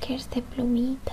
que es de plumitas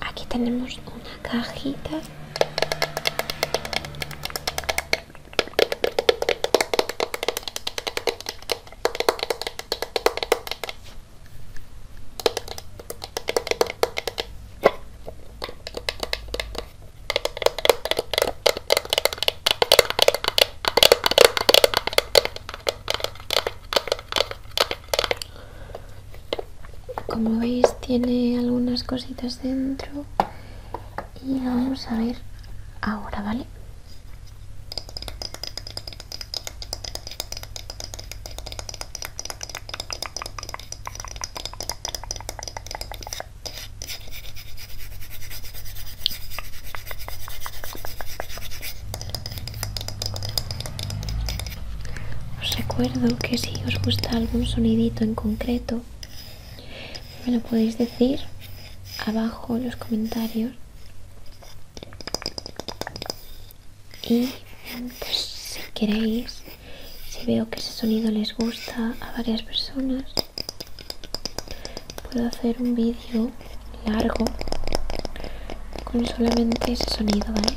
Aquí tenemos una cajita como veis tiene algunas cositas dentro y vamos a ver ahora vale os recuerdo que si os gusta algún sonidito en concreto, me lo podéis decir abajo en los comentarios. Y pues, si queréis, si veo que ese sonido les gusta a varias personas, puedo hacer un vídeo largo con solamente ese sonido, ¿vale?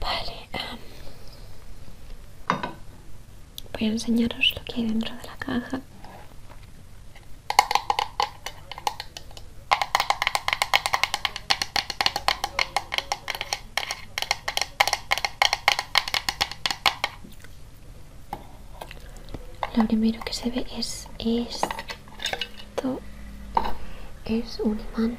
Vale. voy a enseñaros lo que hay dentro de la caja. Lo primero que se ve es esto. Es un imán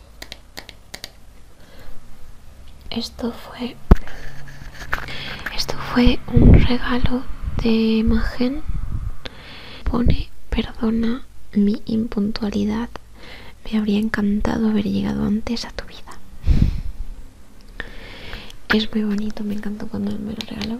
Esto fue esto fue un regalo de imagen Pone perdona mi impuntualidad. Me habría encantado haber llegado antes a tu vida. Es muy bonito, me encantó cuando me lo regaló.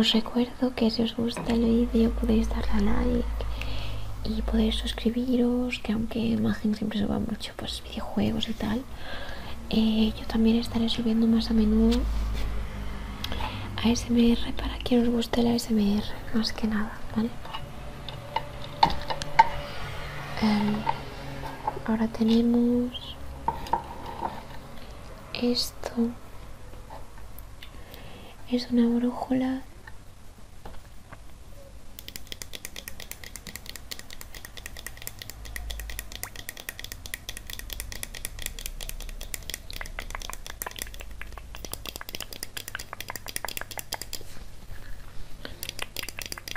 Os recuerdo que si os gusta el vídeo podéis darle a like y podéis suscribiros, que aunque imagen siempre suba mucho pues videojuegos y tal, eh, yo también estaré subiendo más a menudo ASMR para quien os guste la ASMR, más que nada, ¿vale? Em, ahora tenemos esto. Es una brújula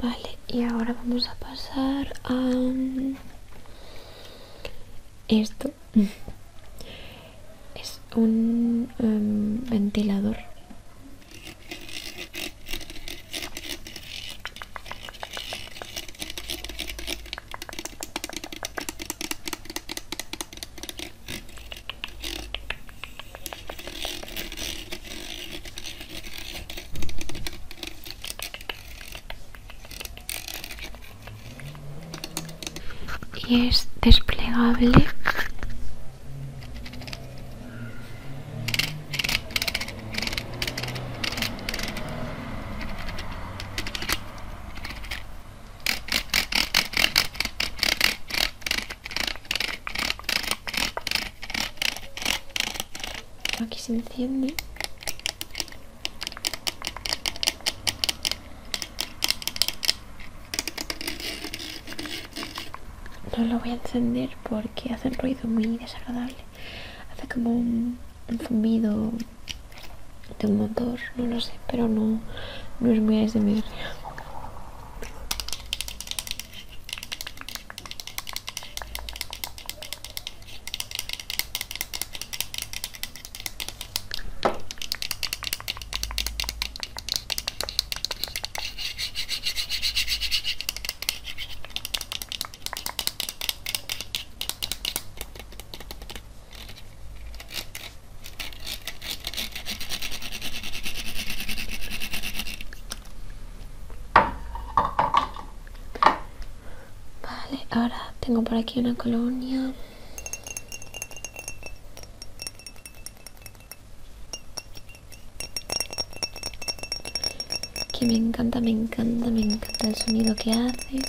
Vale, y ahora vamos a pasar a esto. Es un em, ventilador y es desplegable Aquí se enciende. No lo voy a encender porque hace un ruido muy desagradable hace como un, zumbido fumido de un motor, no lo sé, pero no, no es muy ASMR. Vale, ahora tengo por aquí una colonia que me encanta, me encanta, me encanta el sonido que hace.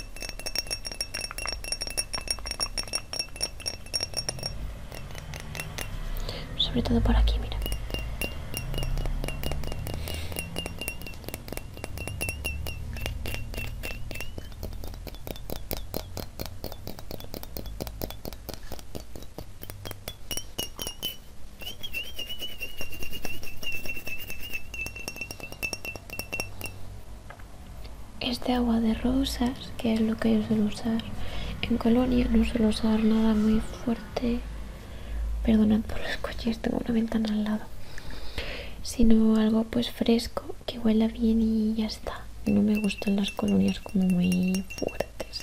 Sobre todo por aquí, mira. Este agua de rosas, que es lo que yo suelo usar en Colonia, no suelo usar nada muy fuerte. Perdonad por los coches, tengo una ventana al lado. Sino algo pues fresco, que huela bien y ya está. No me gustan las colonias como muy fuertes,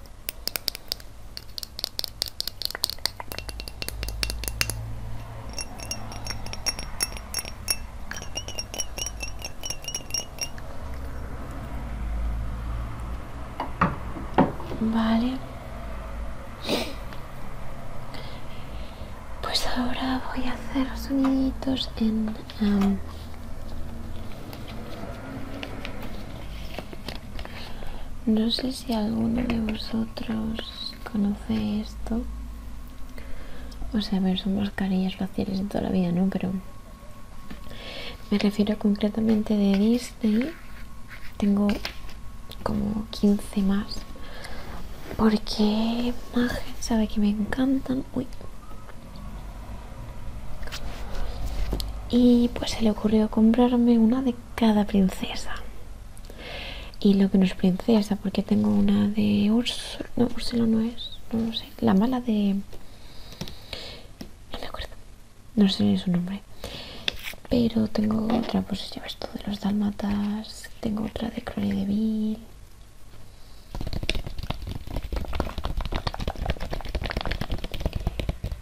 Vale. Pues ahora voy a hacer soniditos en em, no sé si alguno de vosotros conoce esto. O sea, son mascarillas faciales de toda la vida, ¿no? Pero me refiero concretamente de Disney. Tengo como 15 más. Porque más sabe que me encantan. Uy, y pues se le ocurrió comprarme una de cada princesa. Y lo que no es princesa, porque tengo una de Ursula, no, Ursula no es, no lo sé, la mala de... no me acuerdo, no sé ni su nombre. Pero tengo otra, pues ya ves tú de los dálmatas, tengo otra de Crony de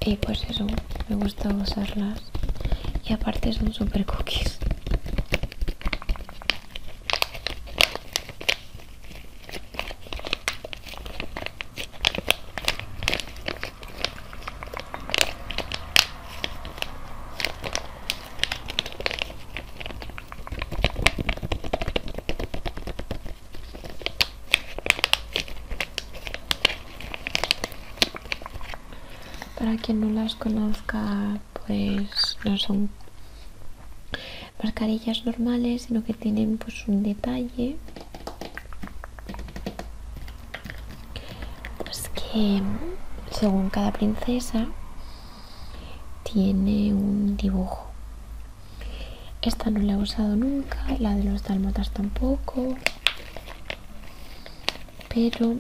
y pues eso me gusta usarlas y aparte son super cookies para quien no las conozca, pues no son mascarillas normales, sino que tienen pues un detalle. Pues que según cada princesa tiene un dibujo esta no la he usado nunca, la de los talmotas tampoco. Pero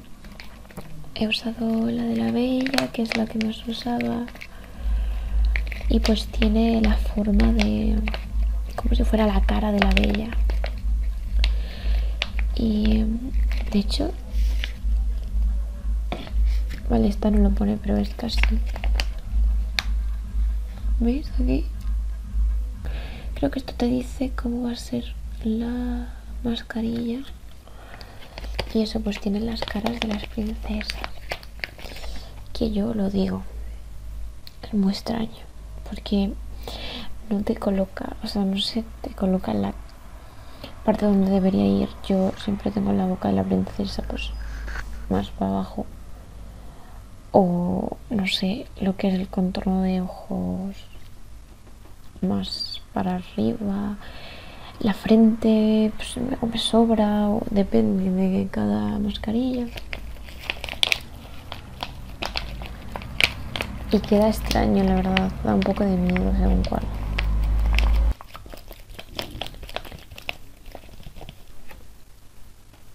he usado la de la bella, que es la que más usaba. Y pues tiene la forma de... como si fuera la cara de la bella. Y de hecho... Vale, esta no lo pone, pero esta sí veis aquí? Creo que esto te dice cómo va a ser la mascarilla. Y eso pues tiene las caras de las princesas. Que yo lo digo. Es muy extraño. Porque no te coloca, o sea, no sé, te coloca la parte donde debería ir. Yo siempre tengo la boca de la princesa pues más para abajo o no sé lo que es el contorno de ojos más para arriba la frente pues, me sobra depende de cada mascarilla y queda extraño la verdad da un poco de miedo según cuál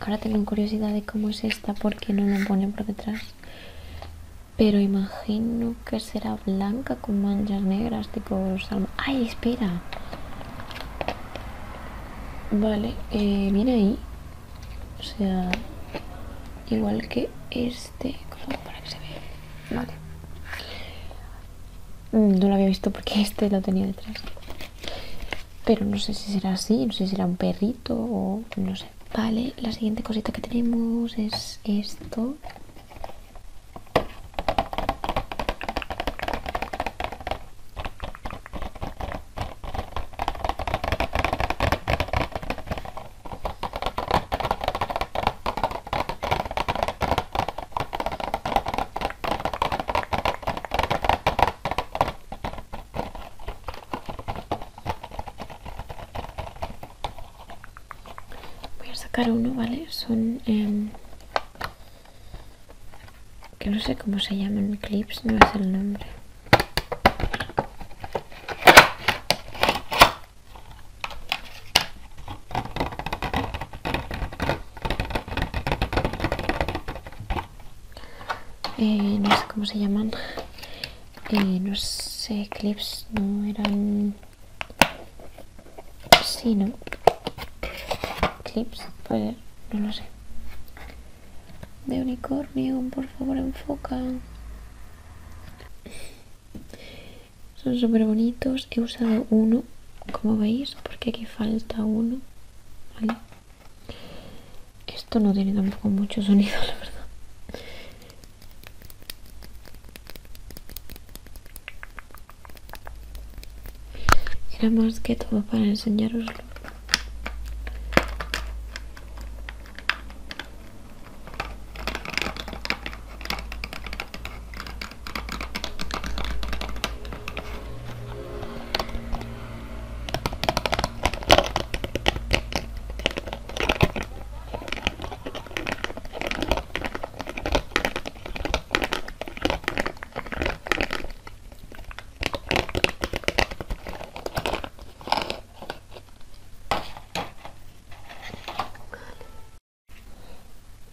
Ahora tengo curiosidad de cómo es esta porque no lo ponen por detrás. Pero imagino que será blanca con manchas negras, tipo salma. ¡Ay, espera! Vale, eh, viene ahí. O sea, igual que este. ¿Cómo para que se vea? Vale. Mm, no lo había visto porque este lo tenía detrás pero no sé si será así, no sé si será un perrito o no sé. Vale, la siguiente cosita que tenemos es esto voy a sacar uno vale son em, que no sé cómo se llaman clips no sé el nombre eh, no sé cómo se llaman eh, no sé clips no eran si no clips no lo sé de unicornio por favor enfoca son súper bonitos he usado uno como veis porque aquí falta uno esto no tiene tampoco mucho sonido, la verdad. Era más que todo para enseñaros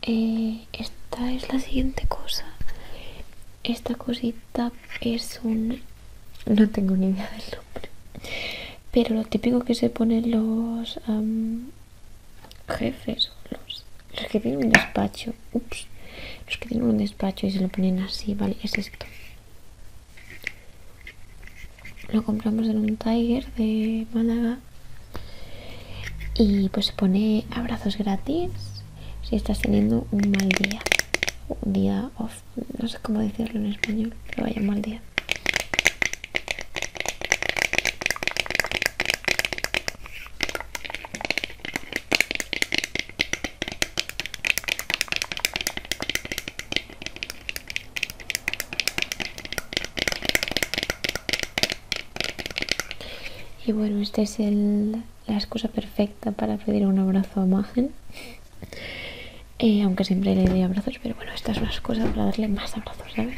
eh, esta es la siguiente cosa. Esta cosita es un no tengo ni idea del nombre. Pero lo típico que se ponen los jefes, los, que tienen un despacho. Los que tienen un despacho y se lo ponen así, vale, es esto. Lo compramos en un Tiger de Málaga. Y pues se pone abrazos gratis si estás teniendo un mal día, un día of no sé cómo decirlo en español, pero vaya mal día. Y bueno, este es el la excusa perfecta para pedir un abrazo a Magen. Eh, aunque siempre le doy abrazos, pero bueno, esta es una excusa para darle más abrazos, ¿sabes?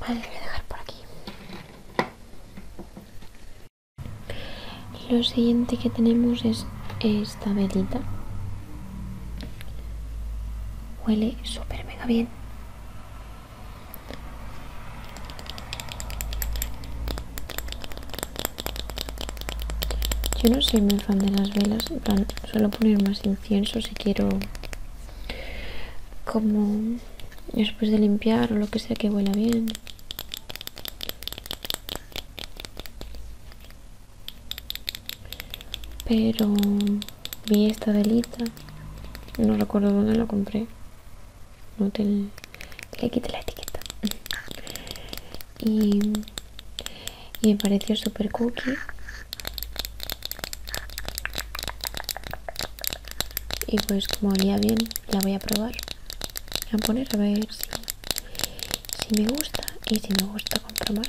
Vale, voy a dejar por aquí. Lo siguiente que tenemos es esta velita. Huele súper mega bien. Yo no soy muy fan de las velas, suelo poner más incienso si quiero como después de limpiar o lo que sea que huela bien. Pero vi esta delita. No recuerdo dónde la compré. No te le quité la etiqueta. Y, me pareció súper cookie. Y pues como olía bien, la voy a probar voy a poner a ver si, me gusta y si me gusta compro más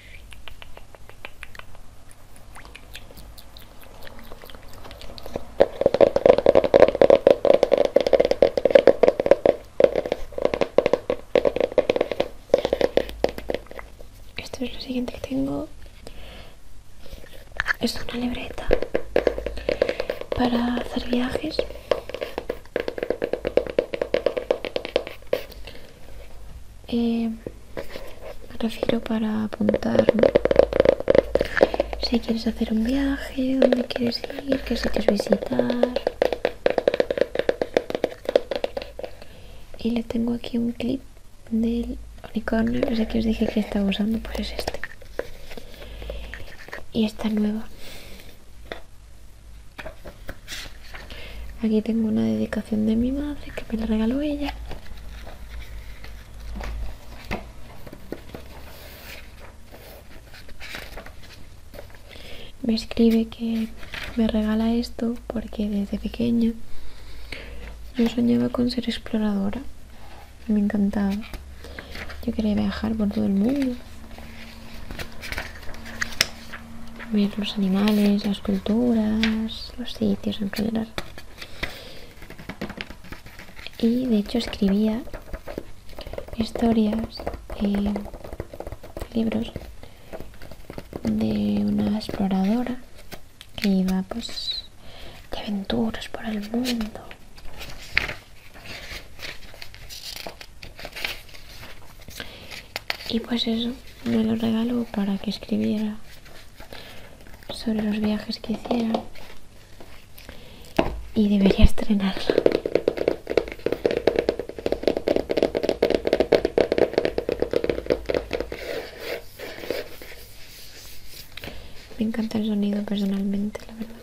Esto es lo siguiente que tengo. Es una libreta para hacer viajes. Eh, me refiero para apuntar si quieres hacer un viaje, dónde quieres ir, qué sitios visitar. Y le tengo aquí un clip del unicornio, ese que os dije que estaba usando, pues es este. Y esta nueva. Aquí tengo una dedicación de mi madre que me la regaló ella. Me escribe que me regala esto porque desde pequeña yo soñaba con ser exploradora. Me encantaba. Yo quería viajar por todo el mundo ver los animales, las culturas, los sitios en general. Y de hecho escribía historias, y libros de una exploradora que iba pues de aventuras por el mundo. Y pues eso, me lo regaló para que escribiera sobre los viajes que hiciera. Y debería estrenarlo Me encanta el sonido personalmente, la verdad.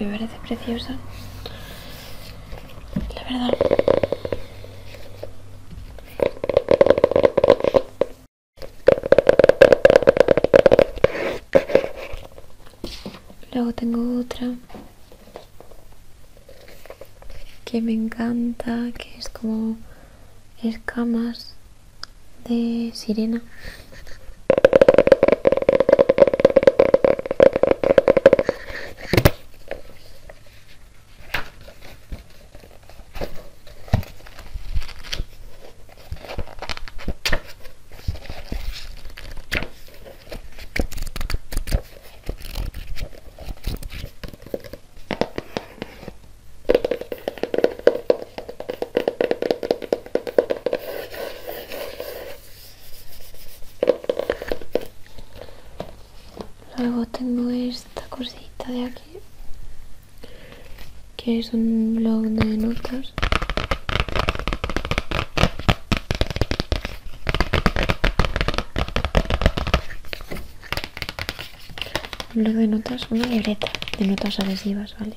Me parece preciosa. La verdad. Luego tengo otra que me encanta, que es como escamas de sirena. Luego tengo esta cosita de aquí que es un blog de notas un blog de notas, una libreta de notas adhesivas, ¿vale?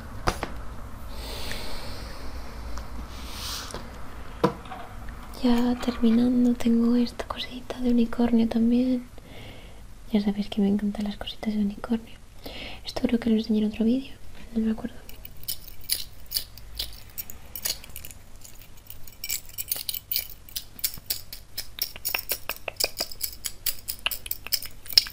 Ya terminando tengo esta cosita de unicornio también. Ya sabéis que me encantan las cositas de unicornio. Esto creo que lo enseñé en otro vídeo, no me acuerdo.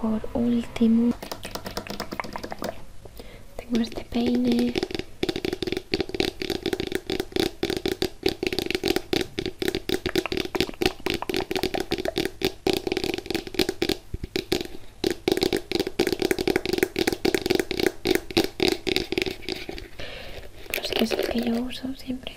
por último tengo este peine que es que yo uso siempre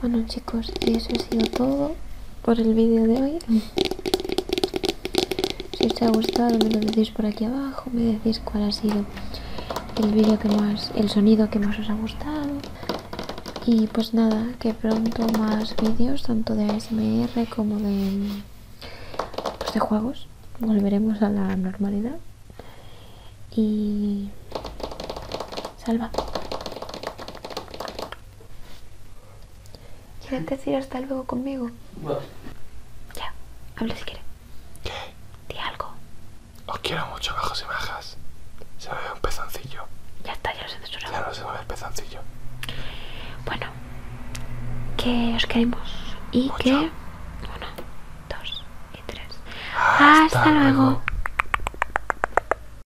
Bueno chicos, y eso ha sido todo por el vídeo de hoy. Mm. Si os ha gustado me lo decís por aquí abajo, me decís cuál ha sido el vídeo que más, el sonido que más os ha gustado. Y pues nada, que pronto más vídeos, tanto de ASMR como de, pues de juegos. Volveremos a la normalidad. Y... Salva. ¿Quieres decir hasta luego conmigo? No. Ya, habla si quieres. ¿Qué? Di algo. Os quiero mucho, bajos y bajas. Se me ve un pezoncillo. Ya está, ya lo he censurado. Ya no se me ve el pezoncillo. Bueno, que os queremos y pues qué Uno, dos y tres. Hasta, luego.